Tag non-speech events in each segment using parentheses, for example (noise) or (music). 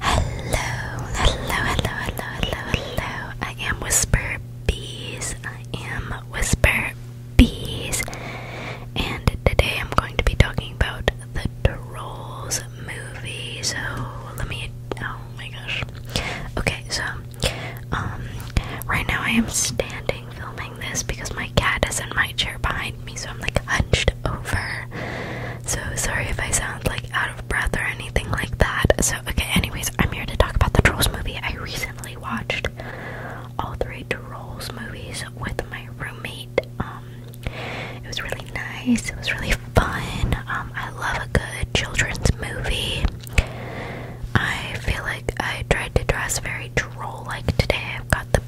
Hello, hello, hello, hello, hello, hello. I am Whisper Bees. I am Whisper Bees. And today I'm going to be talking about the Trolls movie. So let me. Oh my gosh. Okay, so, um, right now I am standing filming this because my cat is in my chair behind me, so I'm like hunched over. So sorry if I sound like out of breath or anything like that. So okay, anyways, I'm here to talk about the Trolls movie. I recently watched all three Trolls movies with my roommate. Um, it was really nice. It was really fun. Um, I love a good children's movie. I feel like I tried to dress very troll like today. I've got the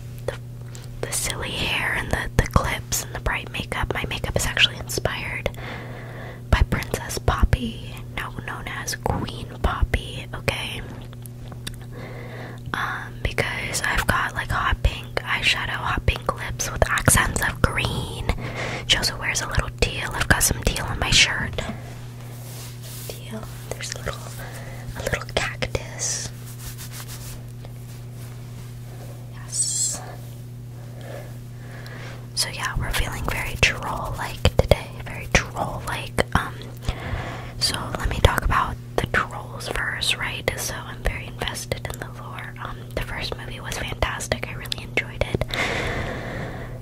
the silly hair and the, the clips and the bright makeup. My makeup is actually inspired by Princess Poppy, now known as Queen Poppy, okay? Um, because I've got like hot pink eyeshadow, hot pink lips with accents of green. She also wears a little teal. I've got some teal on my shirt. Teal. There's a little a little cactus. Yes. So yeah, we're feeling very troll-like today. Very troll-like. Um. So let me talk about the trolls first, right? So I'm very invested in the lore. Um. The first movie was fantastic. I really enjoyed it.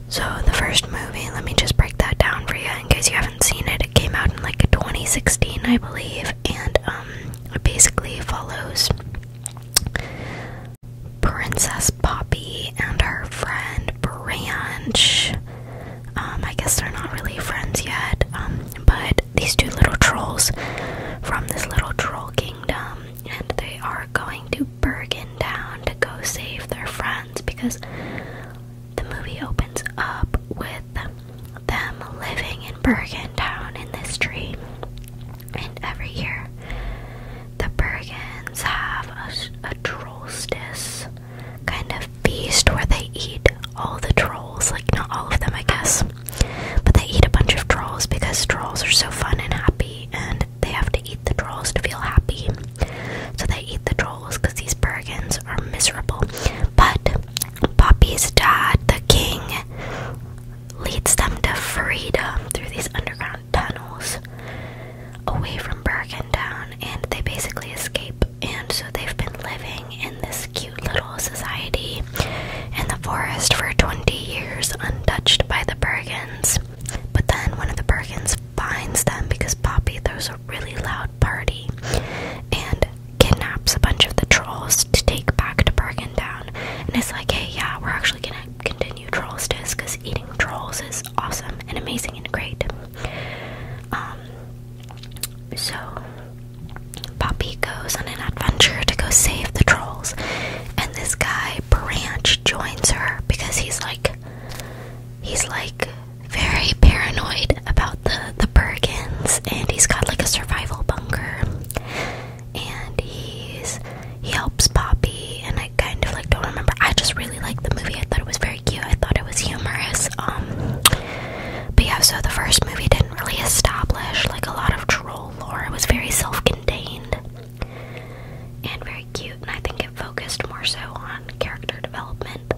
So the first movie, let me just break that down for you in case you haven't seen it. It came out in like 2016, I believe, and um, it basically follows Princess Poppy and her friend Branch. Um, I guess they're not really friends yet, um, but these two little trolls from this little troll kingdom, and they are going to Bergen Town to go save their friends because the movie opens up with them living in Bergen town in this dream, And every year, the Bergens have a, a kind of feast where they eat all the trolls. Like, not all of them, I guess. But they eat a bunch of trolls because trolls are so fun and happy, and they have to eat the trolls to feel happy. So they eat the trolls because these Bergens are miserable. But Poppy's dad, the king, leads them to freedom through these underground tunnels away from Bergentown, and they basically escape. And so they've been living in this cute little society in the forest for 20 years, untouched by the Bergens. But then one of the Bergens finds them because Poppy throws a really loud party, and kidnaps a bunch of the trolls to take back to Bergen Down, and it's like, hey, yeah, we're actually gonna continue Trolls Disc because eating trolls is awesome and amazing and great. Um, so Poppy goes on an adventure to go save the trolls, and this guy Branch joins her because he's like, he's like very paranoid about the the Bergens, and he's got like a survival bunker, and he's he helps Poppy, and I kind of like don't remember. I just really liked the movie. I thought it was very cute. I thought it was humorous. Um, but yeah, so the first movie didn't really establish like a lot of troll lore. It was very self-contained and very cute, and I think it focused more so on character development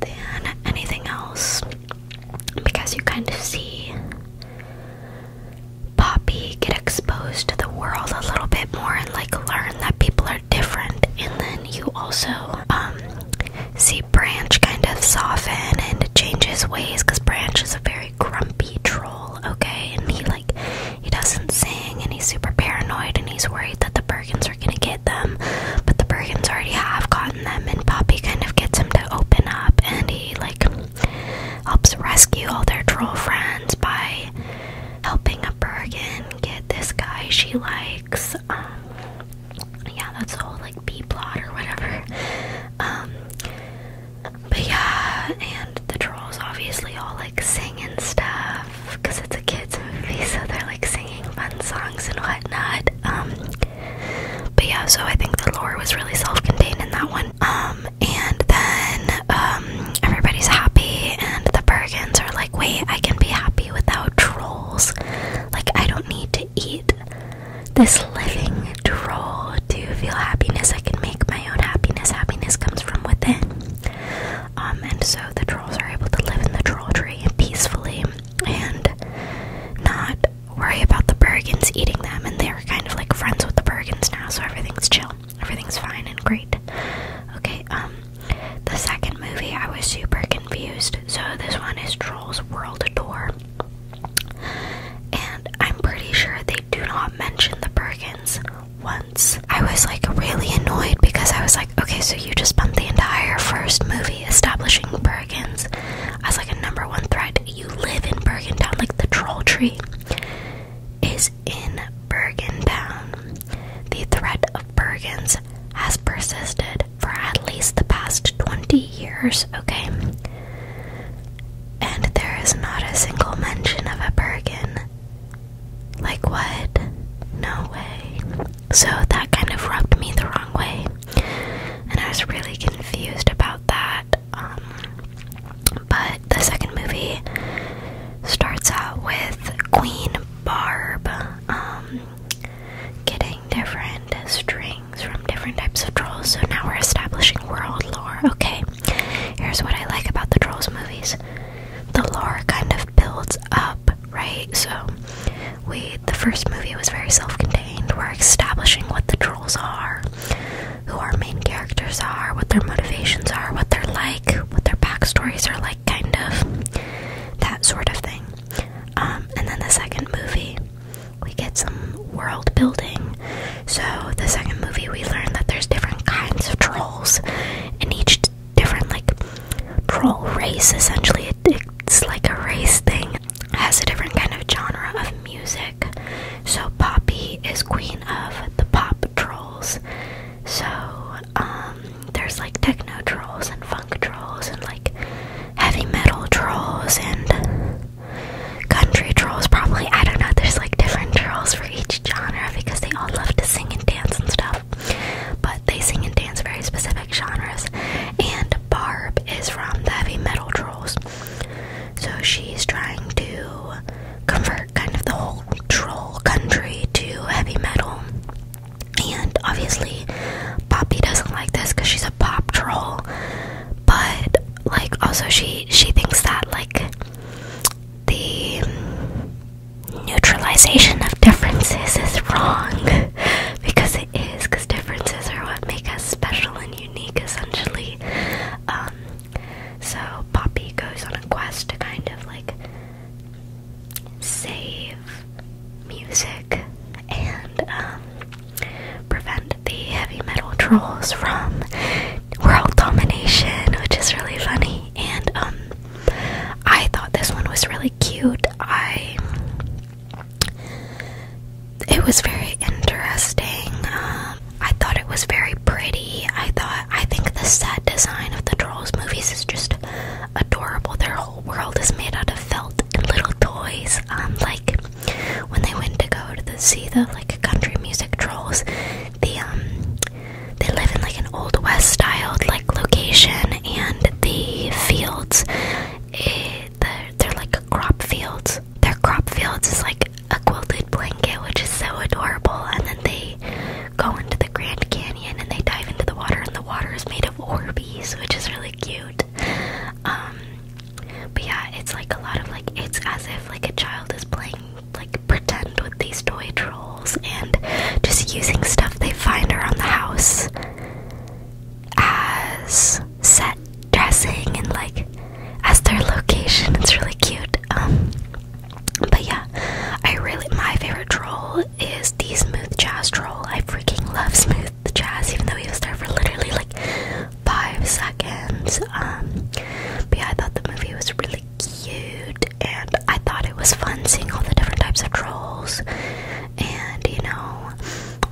than anything else because you kind of see Poppy get exposed to the world a little bit more and like learn that people are different. And then you also um, see Branch kind of soften and change his ways because Branch is a very grumpy troll, okay? And he like he doesn't sing and he's super paranoid and he's worried that the Bergen Burhams are gonna get them, but the Burhams already have gotten them, and Poppy kind of gets him to open up, and he like helps rescue all their troll friends by helping a Burgan get this guy she likes. Um, yeah, that's the whole like B plot or whatever. Um, but yeah, and the trolls obviously all like sing and stuff because it's a kids movie, (laughs) so they're like singing fun songs and whatnot. Um, but yeah, so I think the lore was really self-contained in that one. Um, and then um, everybody's happy, and the Bergens are like, "Wait, I can be happy without trolls. Like, I don't need to eat this living troll to feel happiness. I can make my own happiness. Happiness comes from within." and so the trolls are able to live in the troll tree peacefully and not worry about the Bergens eating them. And they're kind of like friends with the Bergens now, so everything's chill. Everything's fine and great. Okay, um, the second movie I was super confused. So this one is Trolls World Tour. And I'm pretty sure they do not mention the Bergens once. I was like really annoyed because I was like, okay, so you just spent the entire first movie establishing Bergen's as like a number one threat. You live in Bergen like the troll tree is in Bergen The threat of Bergen's has persisted for at least the past 20 years, okay? And there is not a single mention of a Bergen. Like, what? No way. So that kind of rubbed me the wrong way. And I was really confused about that. Um, but the second movie starts out with Queen Barb um, getting different strings from different types of trolls. So now we're establishing world lore. Okay, here's what I like about the Trolls movies the lore kind of builds up right? So we the first movie was very self-contained. We're establishing what the trolls are, who our main characters are, what their motivations are, what they're like, what their backstories are like, kind of that sort of thing. Um, and then the second movie, we get some world building. So the second movie, we learn that there's different kinds of trolls, in each different like troll race essentially it's like a race thing has a different kind of genre of music so poppy is queen of the pop trolls so um there's like techno trolls and funk trolls and like heavy metal trolls and country trolls probably i don't know there's like different trolls for each genre because they all love to sing and dance and stuff but they sing and dance very specific genres. And Barb is from the heavy metal trolls, so she's trying to convert kind of the whole troll country to heavy metal. And obviously, Poppy doesn't like this because she's a pop troll, but like also she she thinks that like the neutralization of differences is wrong because it is because differences are what make us special and unique essentially um, so poppy goes on a quest to kind of like save music and um, prevent the heavy metal trolls from world domination which is really funny and um, I thought this one was really cute. I it was very interesting. Uh, I thought it was very pretty. I thought I think the set design of the Trolls movies is just adorable. Their whole world is made out of felt and little toys. Um, like when they went to go to the, see the like country music trolls, the um they live in like an old west styled like location and the fields it, eh, they're, like crop fields their crop fields is like a quilted blanket which is so adorable and then they go into the grand canyon and they dive into the water and the water is made of orbeez which is really cute um, but yeah it's like a lot of like it's as if like a child is playing like pretend with these toy trolls and just using stuff they find around the house as set dressing and like as their location. It's really cute. Um, but yeah, I really my favorite troll is the smooth jazz troll. I freaking love smooth jazz, even though he was there for literally like five seconds. Um, but I thought the movie was really cute, and I thought it was fun seeing all the different types of trolls. And you know,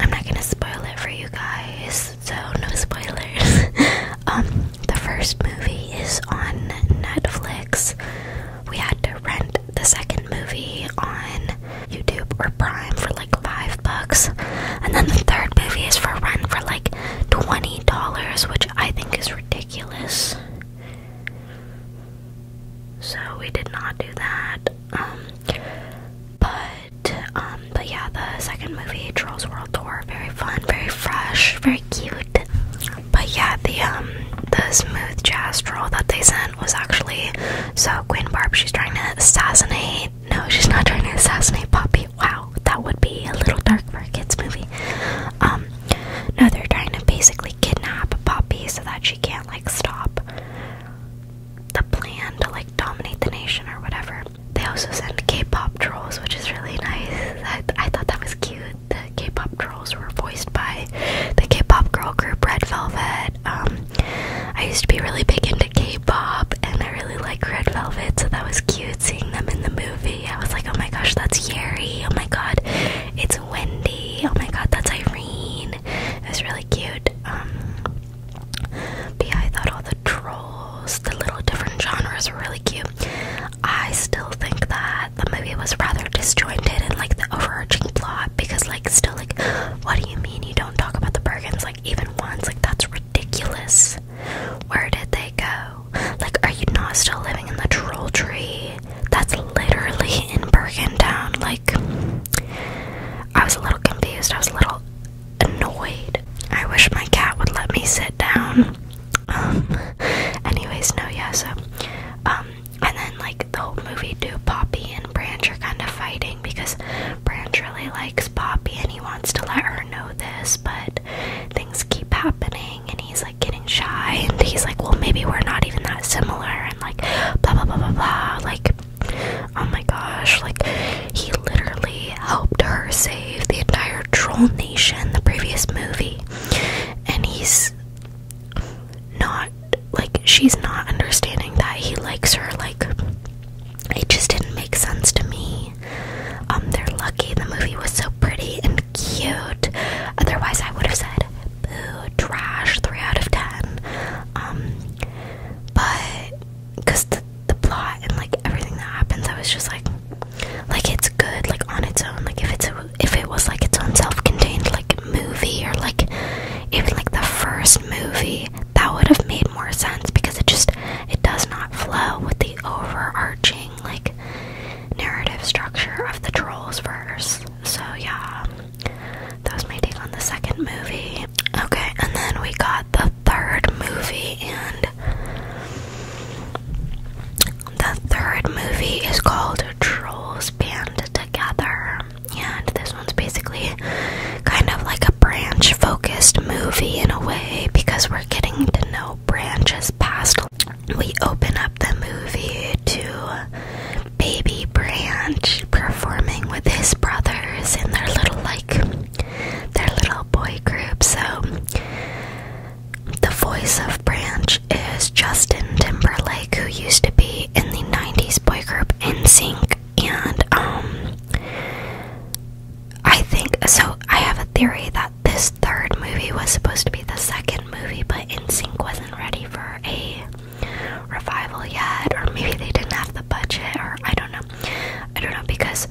I'm not gonna spoil it for you guys, so no spoilers. (laughs) um, the first movie is on Netflix. We had to rent the second movie on YouTube or Prime for like five bucks, and then the third movie is for rent for like twenty dollars, which I think is ridiculous. So we did not do that. Um, but um, but yeah, the second movie, Trolls World Tour, very fun, very fresh, very cute. But yeah, the um, the smooth jazz troll that they sent was actually so Queen Barb. She's trying to assassinate. No, she's not trying to assassinate Poppy. Wow, that would be a little dark for a kids movie. Um, no, they're trying to basically kidnap Poppy so that she can't like stop the plan to like dominate the nation or whatever. They also send K-pop trolls, which is really nice. I, I thought that was cute. The K-pop trolls were voiced by the K-pop girl group Red Velvet. Um, I used to be really big into K-pop, and I really like Red Velvet, so that was cute seeing them in the movie. I was like, oh my gosh, that's Yeri. Oh my god, it's Wendy. Oh my god, that's Irene. It was really cute. Um, but I thought all the trolls, the little different genres were really cute. I still think that the movie was rather disjointed in like the overarching plot because like still like what do you mean you don't talk about the Bergens like even once? Like that's ridiculous. Where did they go? Like, are you not still living in the troll tree? That's literally in Bergen Town. Like, I was a little confused. I was a little annoyed. I wish my cat would let me sit down. Um, anyways, no, yeah, so, um, and then, like, the whole movie, do Poppy and Branch are kind of fighting because Branch really likes Poppy and he wants to let her know this, but things keep happening and he's like getting shy and he's like well maybe we're not even that similar and like blah blah blah blah blah like oh my gosh like he literally helped her save the entire troll nation the previous movie and he's not like she's not understanding that he likes her like it just didn't make sense to me um they're lucky the movie was so pretty and cute. Otherwise, I would have said boo, trash, three out of ten. Um, but because the, the plot and like everything that happens, I was just like, like it's good, like on its own. Like if it's if it was like its own self-contained like movie or like even like the first movie, that would have made more sense because it just it does not flow with the overarching like narrative structure of the trolls verse. So yeah, that was my take on the second movie. Okay, and then we got the third movie, and the third movie is called Trolls Band Together. And this one's basically kind of like a branch focused movie in a way because we're getting to know branches past we open up the movie to Baby Branch performing with his brothers in their little, like, their little boy group. So, the voice of Branch is Justin Timberlake, who used to be in the 90s boy group NSYNC. And, um, I think so. I have a theory that this third movie was supposed to be the second movie, but NSYNC wasn't ready for a revival yet, or maybe they didn't have the budget, or I don't know. I don't know because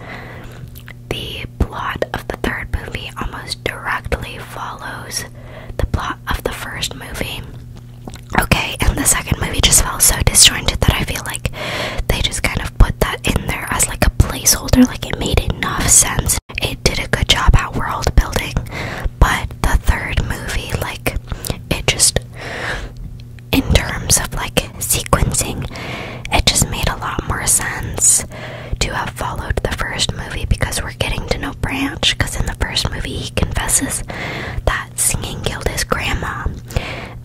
the plot of the third movie almost directly follows the plot of the first movie. Okay, and the second movie just felt so disjointed that I feel like they just kind of put that in there as like a placeholder, like it made enough sense it did a good job at world building, but the third movie, like, it just, in terms of like sequencing, it just made a lot more sense to have followed the first movie because we're getting to know Branch. Because in the first movie, he confesses that singing killed his grandma,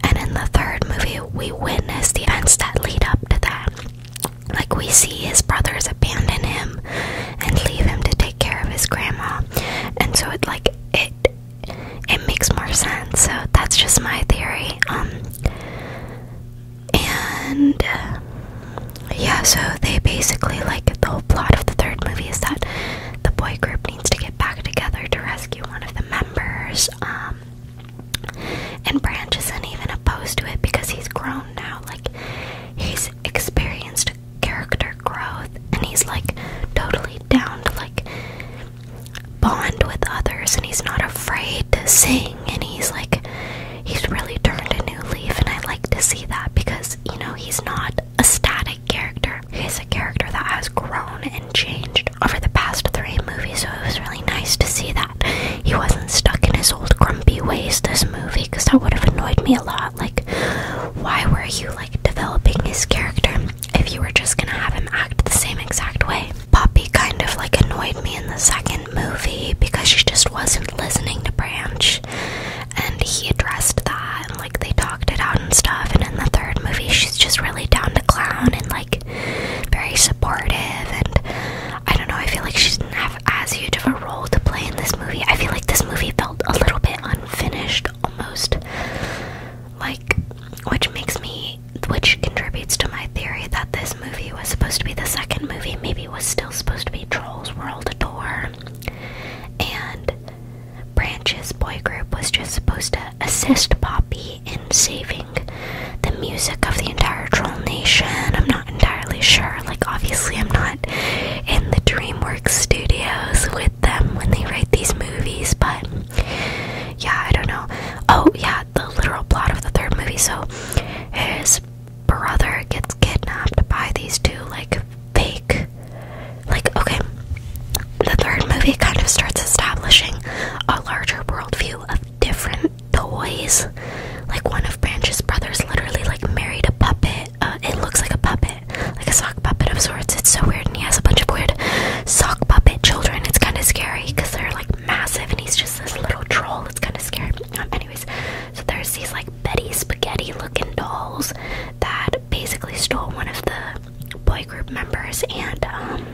and in the third movie, we witness the events that lead up to that. Like we see his brothers abandon him and leave him to take care of his grandma. And so it like it it makes more sense. So that's just my theory. Um and uh, yeah, so they basically like the whole plot of the third movie is that the boy group needs to get back together to rescue one of the members. Um and Branch isn't even opposed to it because he's grown now. Like, he's experienced character growth and he's like totally down to like bond with others and he's not afraid to sing and he's like, he's really turned a new leaf. And I like to see that because, you know, he's not a static character, he's a character that has grown and changed over the past three movies, so it was really nice to see that he wasn't stuck in his old grumpy ways this movie because that would have annoyed me a lot. Like, why were you like developing his character if you were just gonna have him act the same exact way? Poppy kind of like annoyed me in the second movie because she just wasn't listening to Branch and he addressed that and like they talked it out and stuff and in the third movie she's just really down to clown and like very supportive and I don't know, I feel like she didn't have as huge of a role to play in this movie. I feel like this movie felt a little bit unfinished almost. Like which makes me which contributes to my theory that this movie was supposed to be the second movie, maybe was still supposed to be Trolls World Tour. And Branch's boy group was just supposed to assist Poppy maybe in saving the music of the entire troll nation. I'm not entirely sure. Like, obviously, I'm not in the DreamWorks studios with them when they write these movies, but yeah, I don't know. Oh, yeah, the literal plot of the third movie. So, his brother gets kidnapped by these two, like, fake. Like, okay, the third movie kind of starts establishing a larger worldview of different toys. Like one of Branch's brothers literally like married a puppet. Uh, it looks like a puppet, like a sock puppet of sorts. It's so weird, and he has a bunch of weird sock puppet children. It's kind of scary because they're like massive, and he's just this little troll. It's kind of scary. Um, anyways, so there's these like Betty Spaghetti looking dolls that basically stole one of the boy group members, and um,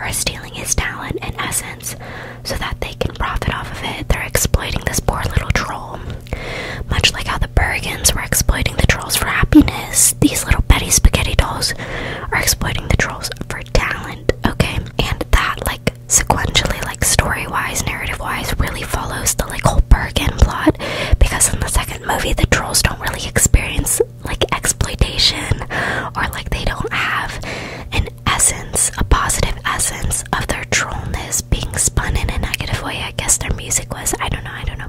are stealing his talent and essence so that they can profit off of it. They're exploiting this poor little troll. Much like how the Bergens were exploiting the trolls for happiness, these little petty spaghetti dolls are exploiting the trolls for talent, okay? And that, like, sequentially, like, story wise, narrative wise, really follows the, like, whole Bergen plot because in the second movie, the trolls don't really experience like exploitation or like they don't have an essence, a positive essence of their trollness being spun in a negative way. I guess their music was. I don't know, I don't know.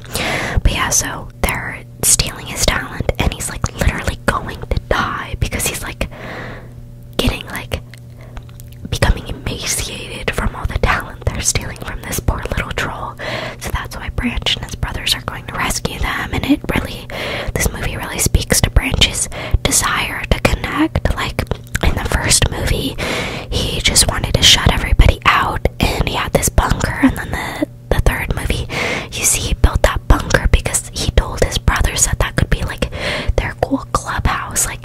But yeah, so they're stealing his talent and he's like literally going to die because he's like getting like becoming emaciated from all the talent they're stealing from this poor little troll. So that's why Branch and his brothers are going to rescue them and it really this movie really speaks to Branch's desire to connect. Like in the first movie, he just wanted to shut everybody out and he had this bunker and then the the third movie, you see he built that bunker because he told his brothers that that could be like their cool clubhouse. Like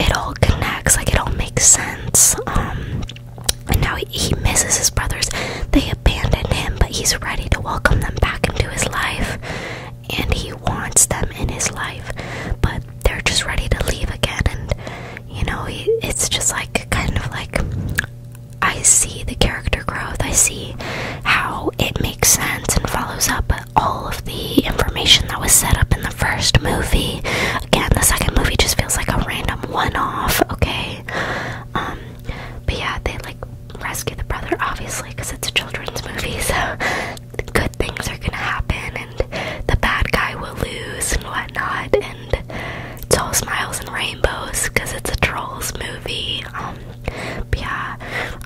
it all connects, like it all makes sense. Um, and now he, misses his brothers. They abandoned him, but he's ready to welcome them back into his life. And he wants them in his life, but they're just ready to leave again. And, you know, it's just like kind of like I see the character growth, I see how it makes sense and follows up all of the information that was set up in the first movie. Again, the second movie just feels like a random one off, okay? Um, but yeah, they like rescue the brother, obviously, because it's a children's movie, (laughs) so good things are gonna happen, and the bad guy will lose and whatnot, and it's all smiles and rainbows because it's a trolls movie. Um, but yeah,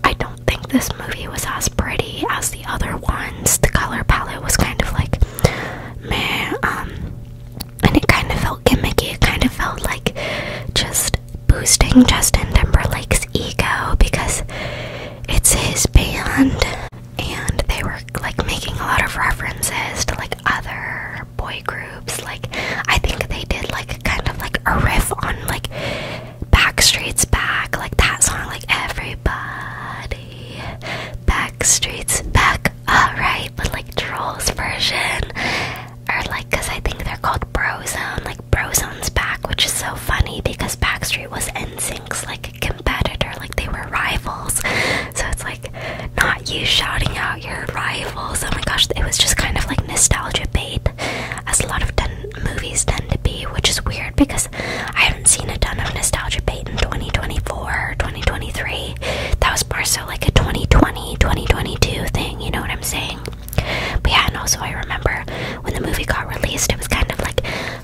I don't think this movie was as pretty as the other ones. The color palette was kind of like man. Um, and it kind of felt gimmicky. It kind of felt like just boosting Justin Timberlake's ego because it's his band, and they were like making a lot of references to like other boy groups. Like I think they did like kind of like a riff on like Backstreet's Back, like that song, like everybody. Backstreet's back, uh, but like Trolls version, or like, cause I think they're called Brozone, like Brozone's back, which is so funny because Backstreet was NSYNC's like competitor, like they were rivals. So it's like not you shouting out your rivals. Oh my gosh, it was just kind of like nostalgia bait, as a lot of movies tend to be, which is weird because I haven't seen a ton of nostalgia bait in 2024 or 2023 that was more so like a 2020, 2022 thing, you know what I'm saying? But yeah, and also I remember when the movie got released, it was kind of like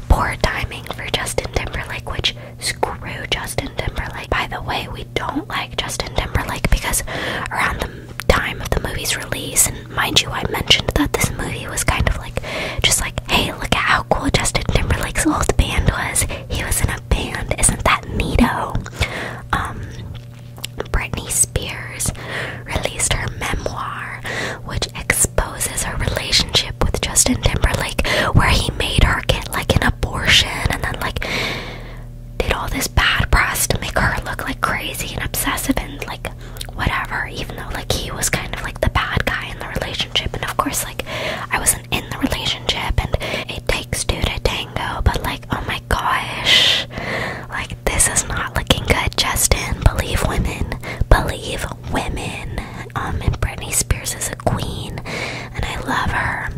poor timing for Justin Timberlake, which screw Justin Timberlake. By the way, we don't like Justin Timberlake because around the time of the movie's release, and mind you, I mentioned that this movie was kind of like just like, hey, look at how cool Justin Timberlake's old band was. He was an band. Isn't that neato? Um, Britney Spears released her memoir, which exposes her relationship with Justin Timberlake, where he made her get like an abortion and then like did all this bad press to make her look like crazy and obsessive and like whatever, even though like he was kind of like the bad guy in the relationship. And of course, like I wasn't in the relationship, and takes two to tango, but like, oh my gosh. Like, this is not looking good, Justin. Believe women. Believe women. Um, and Britney Spears is a queen, and I love her.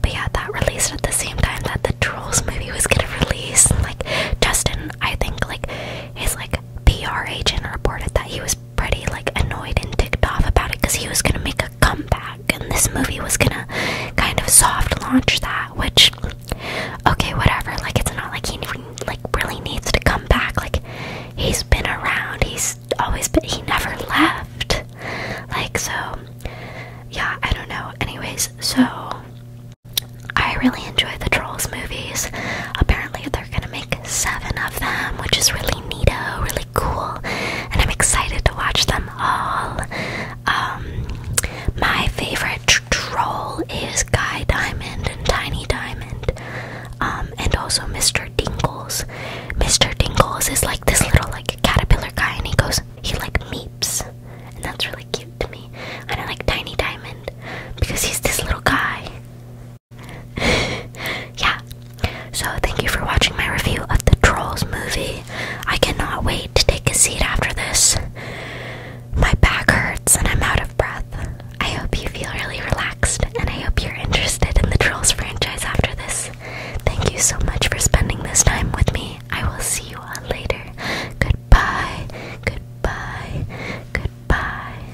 But yeah, that released at the same time that the Trolls movie was gonna release. like, Justin, I think, like, his like PR agent reported that he was pretty like annoyed and ticked off about it because he was gonna make a comeback and this movie was gonna kind of soft launch that, which, okay, whatever. Like, it's not like he like really needs to come back. Like, he's been around. He's always been. He never left. Like, so yeah, I don't know. Anyways, so I really enjoy the Trolls movies. Apparently, they're gonna make seven of them, which is really neato, really cool, and I'm excited to watch them all. Um, my favorite troll is Guy Diamond and Tiny Diamond, um, and also Mr. Dingles. Mr. Dingles is like this little like caterpillar guy, and he goes, he like meeps, and that's really cute to me. And I like Tiny Diamond because he's this little guy. (laughs) yeah, so, thank you for watching my review of the Trolls movie. I cannot wait to take a seat after this. My back hurts and I'm out of breath. I hope you feel really relaxed and I hope you're interested in the Trolls franchise after this. Thank you so much for spending this time with me. I will see you all later. Goodbye. Goodbye. Goodbye.